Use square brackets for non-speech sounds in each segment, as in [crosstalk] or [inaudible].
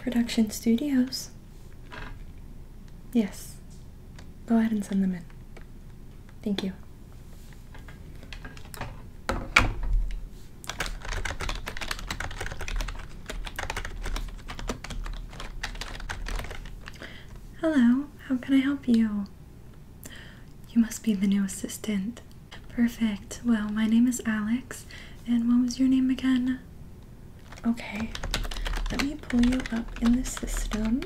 Production Studios. Yes. Go ahead and send them in. Thank you. Hello, how can I help you? You must be the new assistant. Perfect. Well, my name is Alex, and what was your name again? Okay, let me pull you up in the system.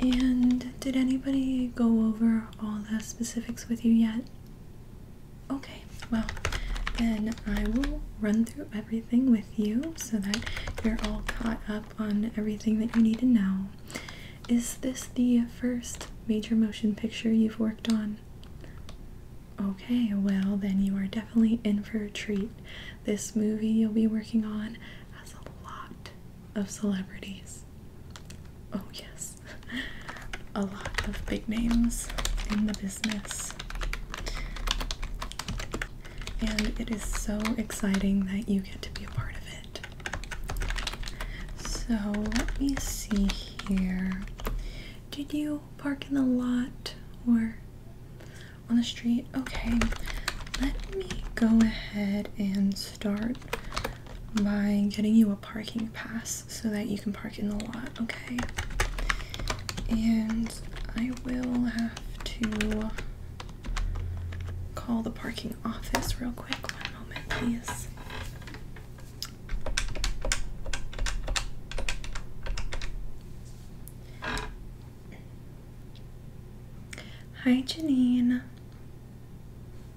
And did anybody go over all the specifics with you yet? Okay, well, then I will run through everything with you so that you're all caught up on everything that you need to know. Is this the first major motion picture you've worked on? Okay, well, then you are definitely in for a treat. This movie you'll be working on has a lot of celebrities. Oh, yes, [laughs] a lot of big names in the business. And it is so exciting that you get to be a part of it. So let me see here. Did you park in the lot or on the street? Okay, let me go ahead and start by getting you a parking pass so that you can park in the lot, okay? and I will have to call the parking office real quick. One moment, please. Hi, Janine.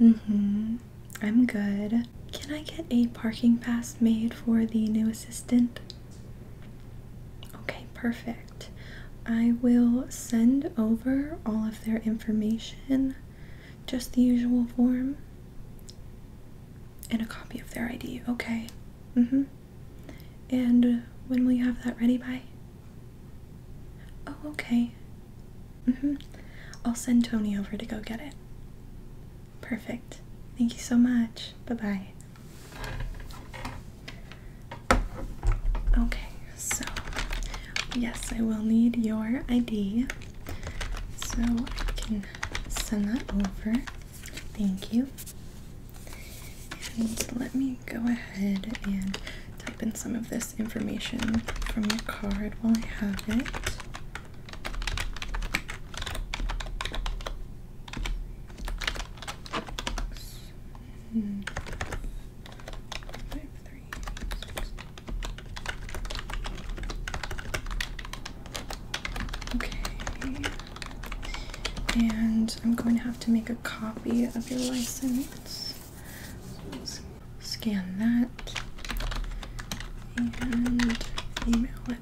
Mm-hmm. I'm good. Can I get a parking pass made for the new assistant? Okay, perfect. I will send over all of their information, just the usual form, and a copy of their ID, okay? Mm hmm. And when will you have that ready by? Oh, okay. Mm hmm. I'll send Tony over to go get it. Perfect. Thank you so much. Bye bye. Okay, so yes, I will need your ID so I can send that over. Thank you. And let me go ahead and type in some of this information from your card while I have it. Hmm. Five, three, six. Okay. And I'm going to have to make a copy of your license. scan that and email it.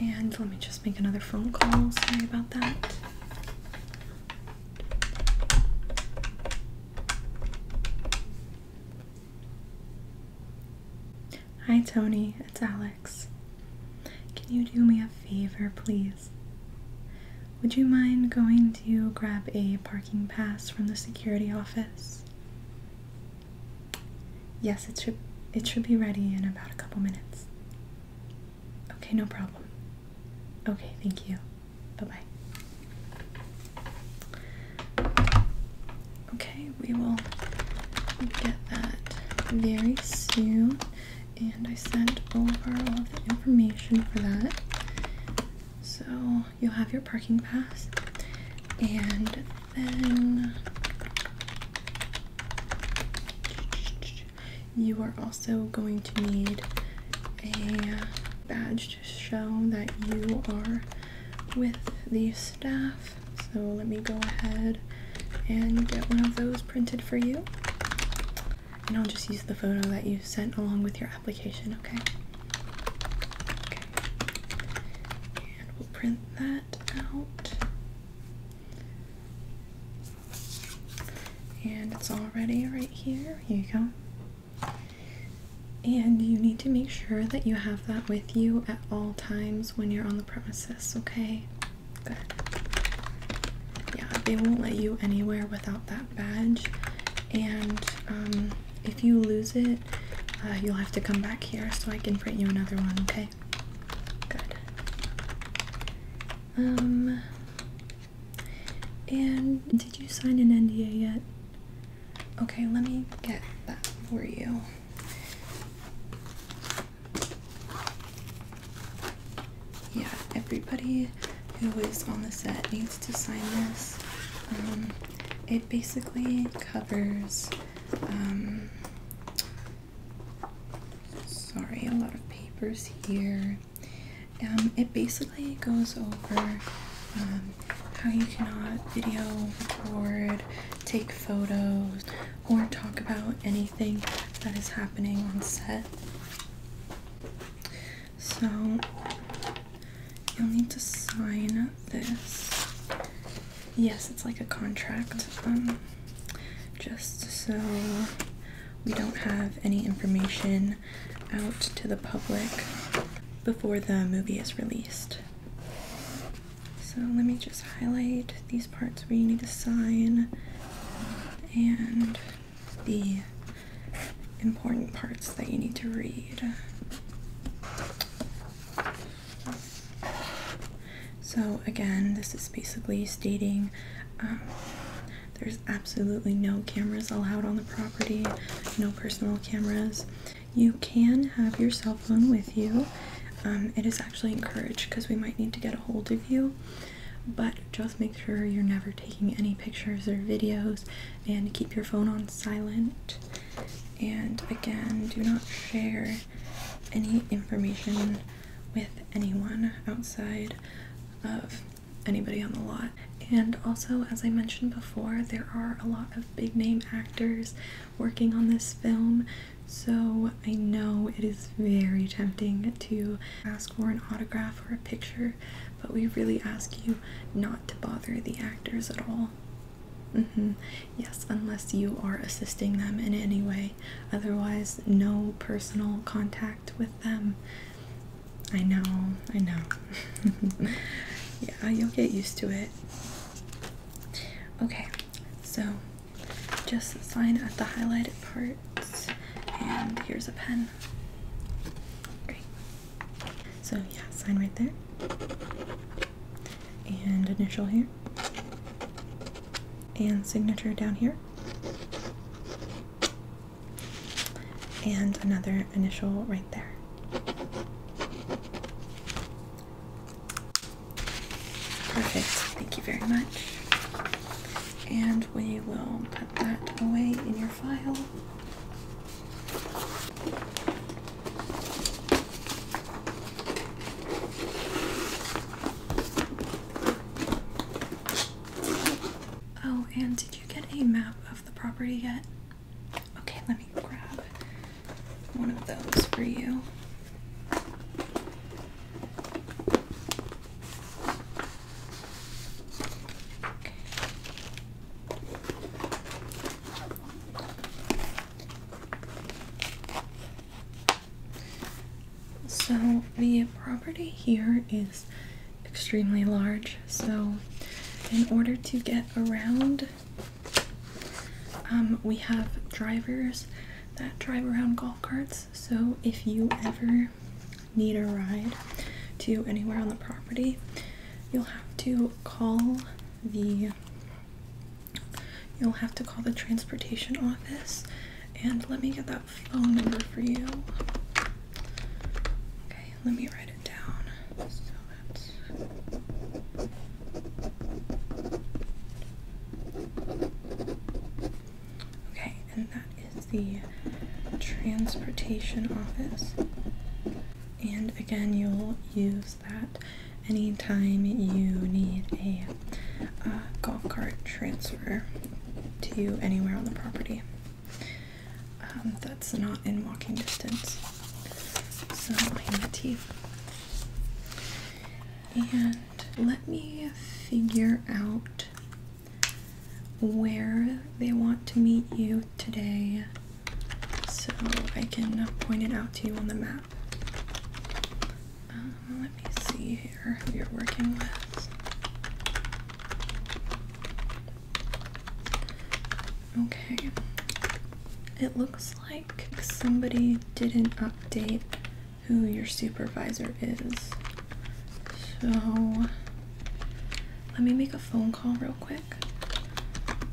And let me just make another phone call. Sorry about that. Hi, Tony. It's Alex. Can you do me a favor, please? Would you mind going to grab a parking pass from the security office? Yes, it should it should be ready in about a couple minutes. Okay, no problem. Okay, thank you. Bye-bye. Okay, we will get that very soon. And I sent over all the information for that. So you'll have your parking pass, and then you are also going to need a badge to show that you are with the staff. So let me go ahead and get one of those printed for you. And I'll just use the photo that you sent along with your application, okay? Okay and we'll print that out. And it's all ready right here. Here you go. And you need to make sure that you have that with you at all times when you're on the premises, okay? Good. Yeah, they won't let you anywhere without that badge. And um, if you lose it, uh, you'll have to come back here so I can print you another one, okay? Good. Um, and did you sign an NDA yet? Okay, let me get that for you. Yeah, everybody who is on the set needs to sign this. Um, it it basically covers. Um, sorry, a lot of papers here. Um, it basically goes over um, how you cannot video, record, take photos, or talk about anything that is happening on set. So, You'll need to sign this. Yes, it's like a contract. Um, just so we don't have any information out to the public before the movie is released. So let me just highlight these parts where you need to sign and the important parts that you need to read. So, again, this is basically stating um, there's absolutely no cameras allowed on the property, no personal cameras. You can have your cell phone with you. Um, it is actually encouraged because we might need to get a hold of you, but just make sure you're never taking any pictures or videos and keep your phone on silent. And again, do not share any information with anyone outside of anybody on the lot. And also, as I mentioned before, there are a lot of big name actors working on this film, so I know it is very tempting to ask for an autograph or a picture, but we really ask you not to bother the actors at all. Mm -hmm. Yes, unless you are assisting them in any way. Otherwise, no personal contact with them. I know, I know. [laughs] yeah, you'll get used to it. Okay, so just sign at the highlighted parts, and here's a pen. Great. So yeah, sign right there. And initial here. And signature down here. And another initial right there. Perfect. Thank you very much. And we will put that away in your file. Oh, and did you get a map of the property yet? Okay, let me grab one of those for you. So, the property here is extremely large. So, in order to get around, um, we have drivers that drive around golf carts. So, if you ever need a ride to anywhere on the property, you'll have to call the you'll have to call the transportation office and let me get that phone number for you. Okay, let me write it down. Okay, and that is the transportation office. And again, you'll use that anytime you need a uh, golf cart transfer to anywhere on the property um, that's not in walking distance. So I And let me figure out where they want to meet you today so I can uh, point it out to you on the map. Um, let me see here who you're working with. Okay, it looks like somebody didn't update who your supervisor is. So let me make a phone call real quick.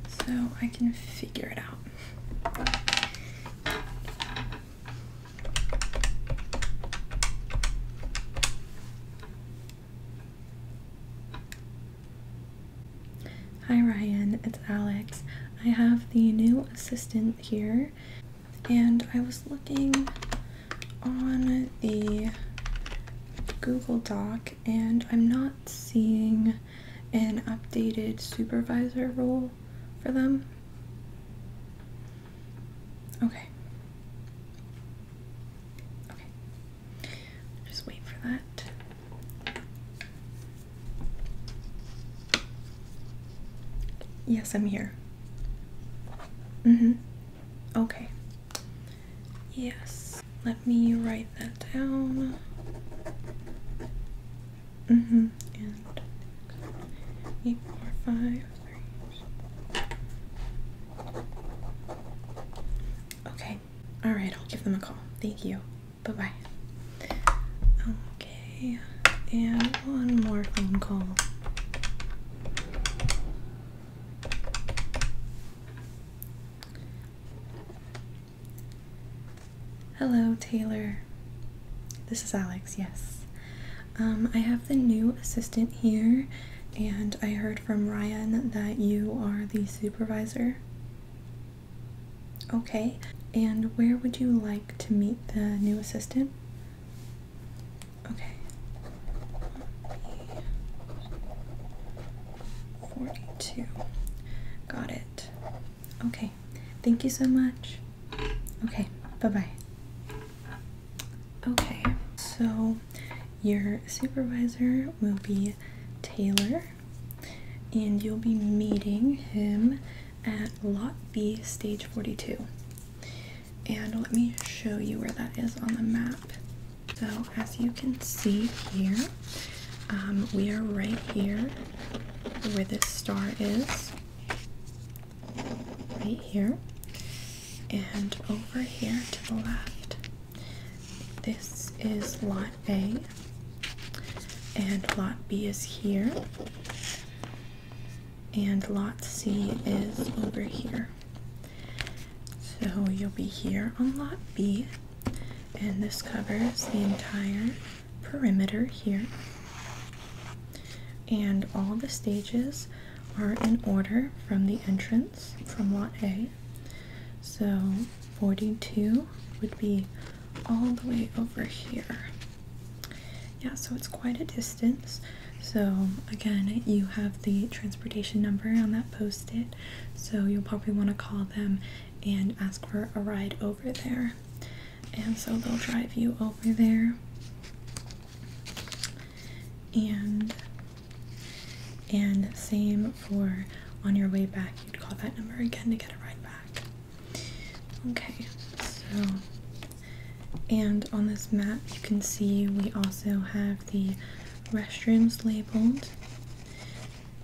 So I I can figure it out. Hi Ryan, it's Alex. I have the new assistant here, and I was looking on the Google Doc and I'm not seeing an updated supervisor role for them. Okay. Okay. Just wait for that. Yes, I'm here. Mm-hmm. Okay. Yes. Let me write that down. hmm. And eight, four, five, three. Okay. All right. I'll give them a call. Thank you. Bye bye. Okay. And one more phone call. Hello, Taylor. This is Alex, yes. Um, I have the new assistant here, and I heard from Ryan that you are the supervisor. Okay, and where would you like to meet the new assistant? Okay. 42. Got it. Okay. Thank you so much. Okay. Bye bye. Okay. So your supervisor will be Taylor, and you'll be meeting him at Lot B, Stage 42. And let me show you where that is on the map. So, as you can see here, um, we are right here where this star is, right here, and over here to the left. This is lot A, and lot B is here, and lot C is over here. So you'll be here on lot B, and this covers the entire perimeter here. And all the stages are in order from the entrance from lot A. So 42 would be all the way over here. Yeah, so it's quite a distance. So again, you have the transportation number on that post-it so you'll probably want to call them and ask for a ride over there. And so they'll drive you over there. And and same for on your way back, you'd call that number again to get a ride back. Okay, so and on this map you can see we also have the restrooms labeled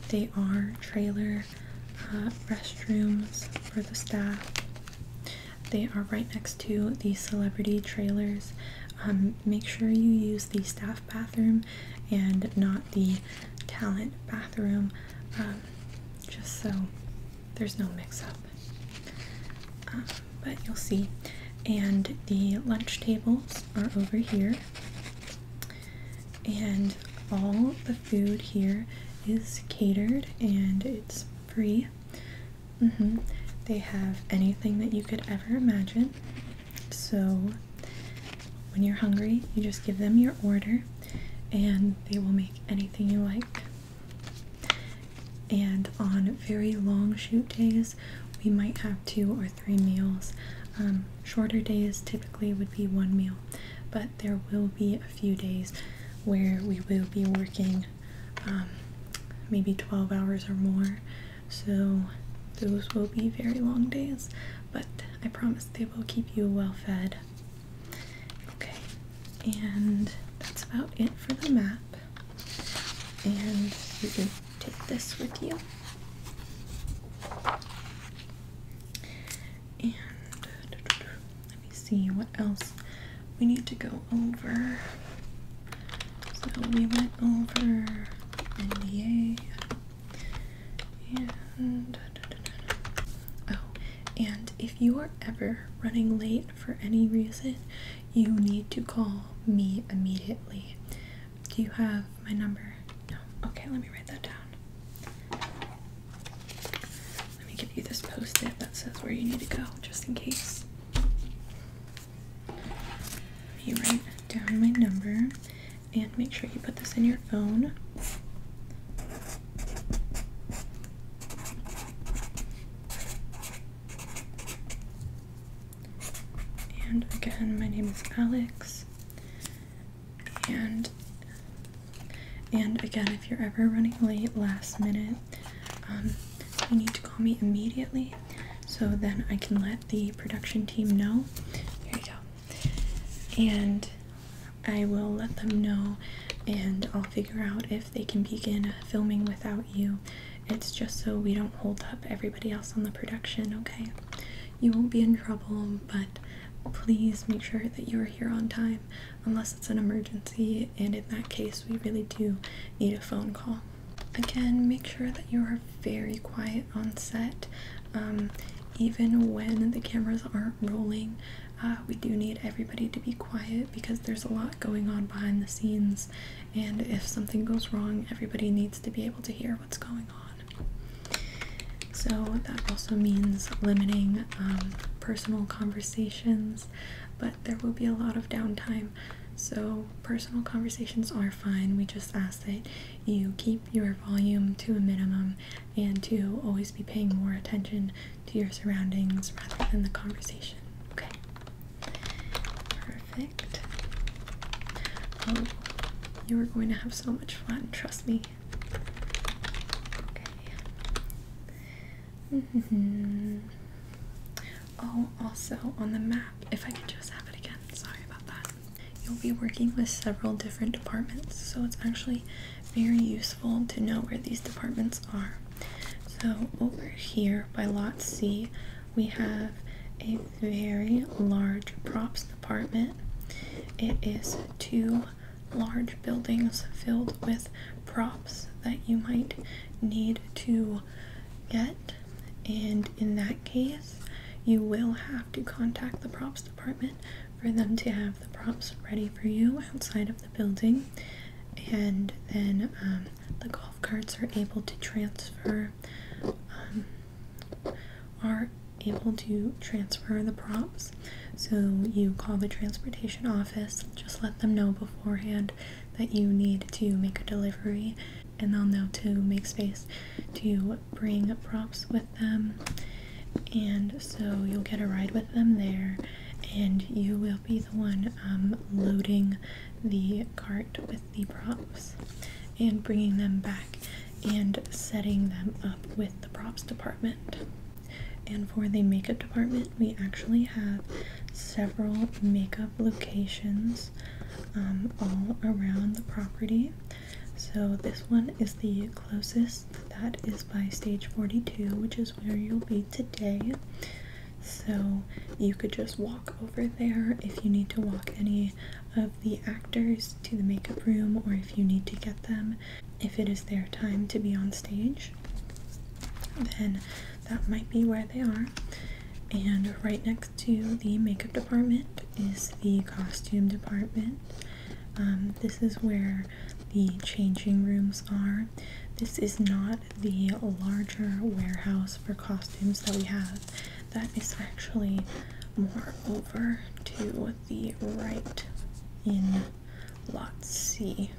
they are trailer uh, restrooms for the staff. They are right next to the celebrity trailers. Um, make sure you use the staff bathroom and not the talent bathroom, um, just so there's no mix up. Um, but you'll see. And the lunch tables are over here. And all the food here is catered and it's free. Mm-hmm. They have anything that you could ever imagine. So when you're hungry, you just give them your order and they will make anything you like. And on very long shoot days, we might have two to three meals. Um, shorter days typically would be one meal, but there will be a few days where we will be working um, maybe 12 hours or more. So those will be very long days, but I promise they will keep you well fed. Okay, and that's about it for the map. And you can take this with you. And let me see what else we need to go over. So we went over NDA and oh, and if you are ever running late for any reason, you need to call me immediately. Do you have my number? No. Okay, let me write that down. Let me give you this post it that says where you need to go just in case. Let me write down my number and make sure you put this in your phone. And again, my name is Alex. And and again, if you're ever running late last minute, um, you need to call me immediately so then I can let the production team know. Here you go. And I will let them know and I'll figure out if they can begin filming without you. It's just so we don't hold up everybody else on the production, okay? you won't be in trouble, but please make sure that you are here on time unless it's an emergency, and in that case, we really do need a phone call. Again, make sure that you are very quiet on set. Um, even when the cameras aren't rolling, uh, we do need everybody to be quiet because there's a lot going on behind the scenes, and if something goes wrong, everybody needs to be able to hear what's going on. So that also means limiting um, personal conversations, but there will be a lot of downtime. So personal conversations are fine. We just ask that you keep your volume to a minimum and to always be paying more attention to your surroundings rather than the conversation. Okay. Perfect. Oh, you are going to have so much fun, trust me. Okay. Mm -hmm. Oh, also on the map, if I can just have it again, sorry about that. You'll be working with several different departments, so it's actually very useful to know where these departments are. So, over here by lot C, we have a very large props department. It is two large buildings filled with props that you might need to get, and in that case, you will have to contact the props department for them to have the props ready for you outside of the building, and then um, the golf carts are able to transfer um, are able to transfer the props. So you call the transportation office, just let them know beforehand that you need to make a delivery, and they'll know to make space to bring props with them. And so you'll get a ride with them there, and you will be the one um, loading the cart with the props and bringing them back and setting them up with the props department. And for the makeup department, we actually have several makeup locations um, all around the property. So this one is the closest. That is by stage 42, which is where you'll be today. So you could just walk over there if you need to walk any of the actors to the makeup room or if you need to get them if it is their time to be on stage then that might be where they are and right next to the makeup department is the costume department um, this is where the changing rooms are this is not the larger warehouse for costumes that we have that is actually more over to the right in lot C.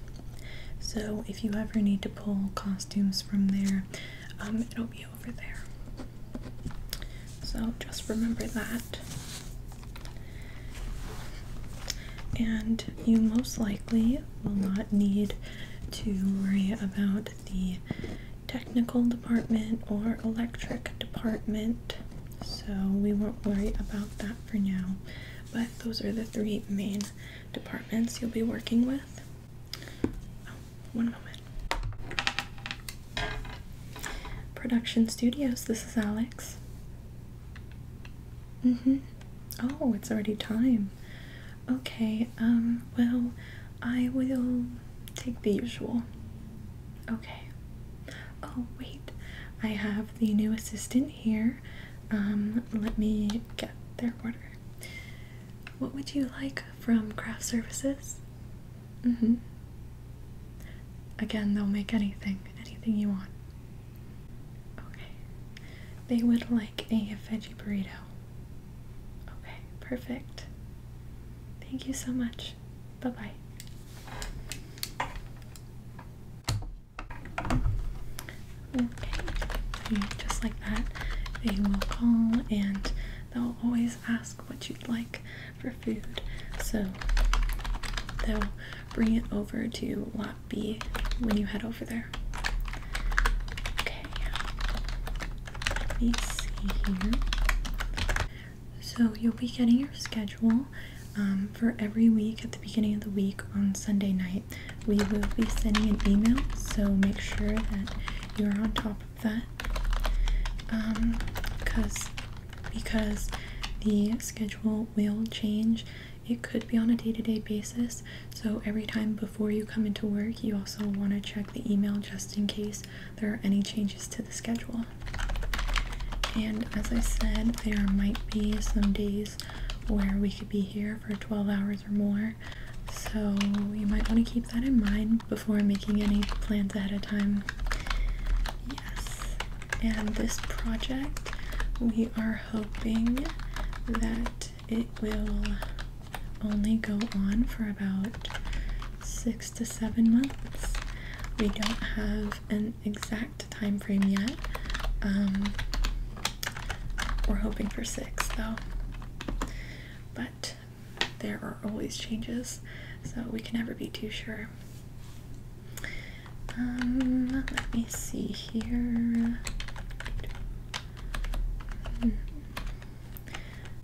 So if you ever need to pull costumes from there, um, it'll be over there. So just remember that. And you most likely will not need to worry about the technical department or electric department, so we won't worry about that for now. But those are the three main departments you'll be working with. Oh, one moment. Production Studios, this is Alex. Mm-hmm. Oh, it's already time. Okay, um, well, I will take the usual. Okay. Oh, wait. I have the new assistant here. Um, let me get their order. What would you like from craft services? Mm hmm. Again, they'll make anything, anything you want. Okay. They would like a veggie burrito. Okay, perfect. Thank you so much. Bye bye. Okay, just like that, they will call and they'll always ask what you'd like for food. So they'll bring it over to Lot B when you head over there. Okay, let me see here. So you'll be getting your schedule um, for every week at the beginning of the week on Sunday night. We will be sending an email, so make sure that you are on top of that. Um, because because the schedule will change. It could be on a day to -day basis. So every time before you come into work, you also want to check the email just in case there are any changes to the schedule. And as I said, there might be some days where we could be here for 12 hours or more, so you might want to keep that in mind before making any plans ahead of time. Yes, and this project, we are hoping that it will only go on for about six to seven months. We don't have an exact time frame yet. Um, we're hoping for six though. But there are always changes, so we can never be too sure. Um, let me see here. Hmm.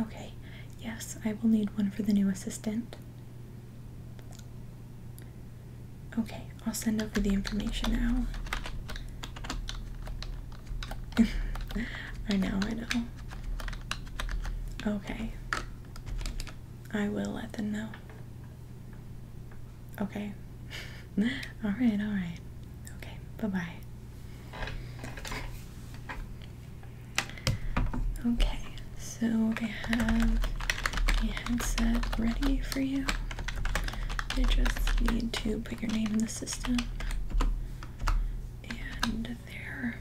Okay, yes, I will need one for the new assistant. Okay, I'll send over the information now. [laughs] I know, I know. Okay. I will let them know. Okay. [laughs] [laughs] all right, all right. Okay, bye bye. Okay, so I have a headset ready for you. You just need to put your name in the system, and there.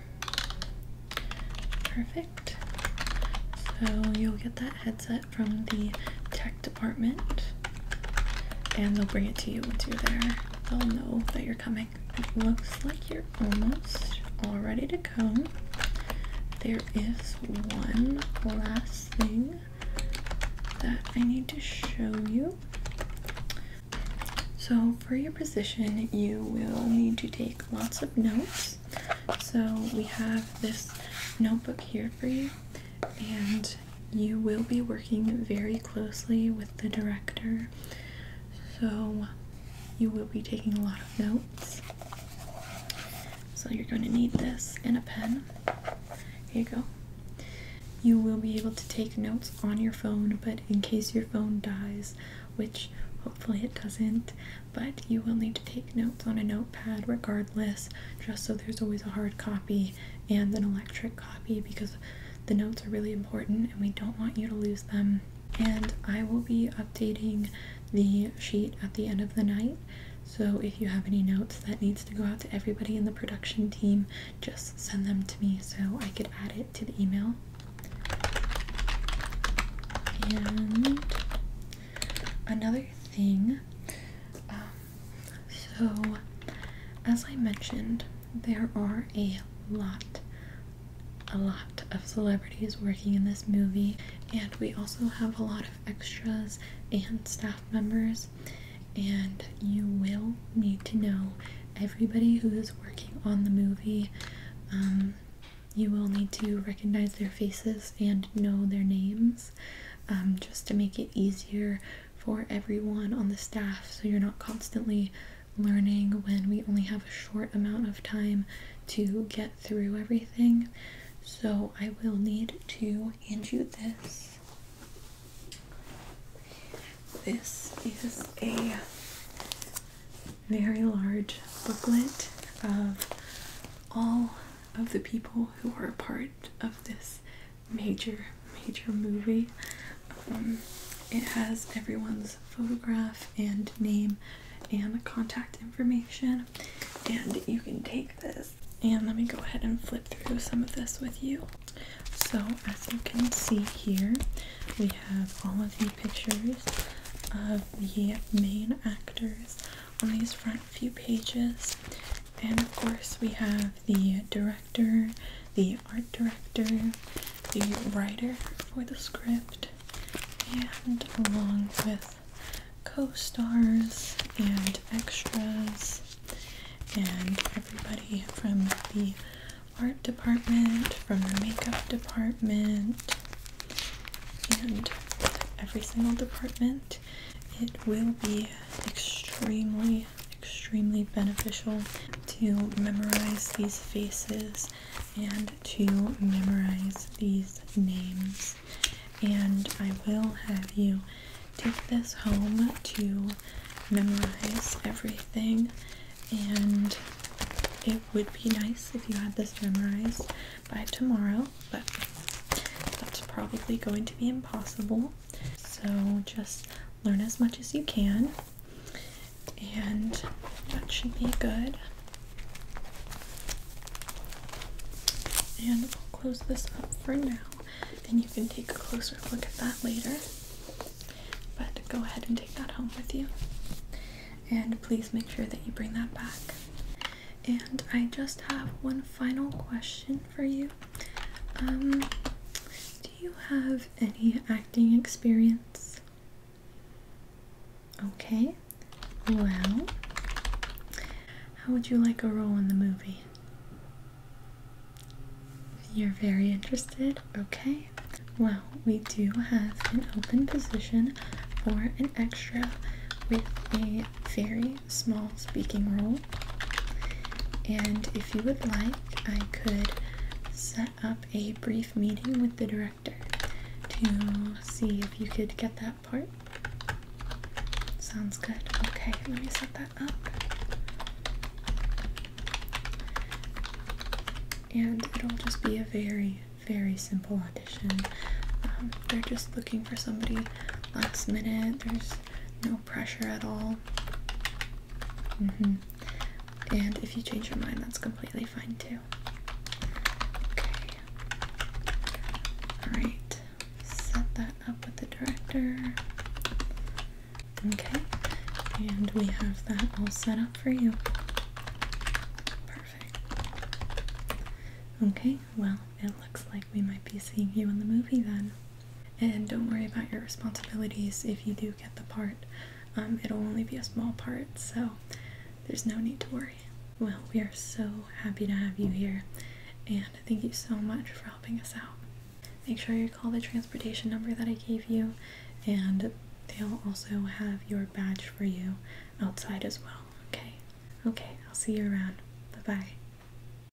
Perfect. So you'll get that headset from the tech department and they'll bring it to you once you're there. They'll know that you're coming. It looks like you're almost all ready to go. There is one last thing that I need to show you. So, for your position, you will need to take lots of notes. So, we have this notebook here for you, and you will be working very closely with the director, so you will be taking a lot of notes. So, you're going to need this and a pen. Here you go. You will be able to take notes on your phone, but in case your phone dies, which hopefully it doesn't, but you will need to take notes on a notepad regardless, just so there's always a hard copy and an electric copy because the notes are really important and we don't want you to lose them. And I will be updating the sheet at the end of the night. So if you have any notes that needs to go out to everybody in the production team, just send them to me so I could add it to the email. And another thing, um, so, as I mentioned, there are a lot, a lot of celebrities working in this movie, and we also have a lot of extras and staff members, and you will need to know everybody who is working on the movie. Um, you will need to recognize their faces and know their names um, just to make it easier for everyone on the staff so you're not constantly learning when we only have a short amount of time to get through everything. So I will need to hand you this. This is a very large booklet of all of the people who are a part of this major, major movie. Um, it has everyone's photograph and name and contact information, and you can take this. And let me go ahead and flip through some of this with you. So, as you can see here, we have all of the pictures of the main actors on these front few pages. And of course, we have the director the art director, the writer for the script, and along with co stars and extras, and everybody from the art department, from the makeup department, and every single department. It will be extremely, extremely beneficial to memorize these faces and to memorize these names. And I will have you take this home to memorize everything. And it would be nice if you had this memorized by tomorrow, but that's probably going to be impossible. So just learn as much as you can, and that should be good. And I'll close this up for now, and you can take a closer look at that later. But go ahead and take that home with you. And please make sure that you bring that back. And I just have one final question for you. Um, do you have any acting experience? Okay, well, how would you like a role in the movie? You're very interested? Okay. Well, we do have an open position for an extra with a very small speaking role and if you would like, I could set up a brief meeting with the director to see if you could get that part. Sounds good. Okay, let me set that up. And it'll just be a very, very simple audition. Um, they're just looking for somebody last minute. There's no pressure at all. Mm-hmm. And if you change your mind, that's completely fine too. Okay. Alright. Set that up with the director. Okay. And we have that all set up for you. Perfect. Okay, well, it looks like we might be seeing you in the movie then. And don't worry about your responsibilities if you do get the part. Um, it'll only be a small part, so there's no need to worry. Well, we are so happy to have you here, and thank you so much for helping us out. Make sure you call the transportation number that I gave you, and they'll also have your badge for you outside as well, okay? Okay, I'll see you around. Bye bye.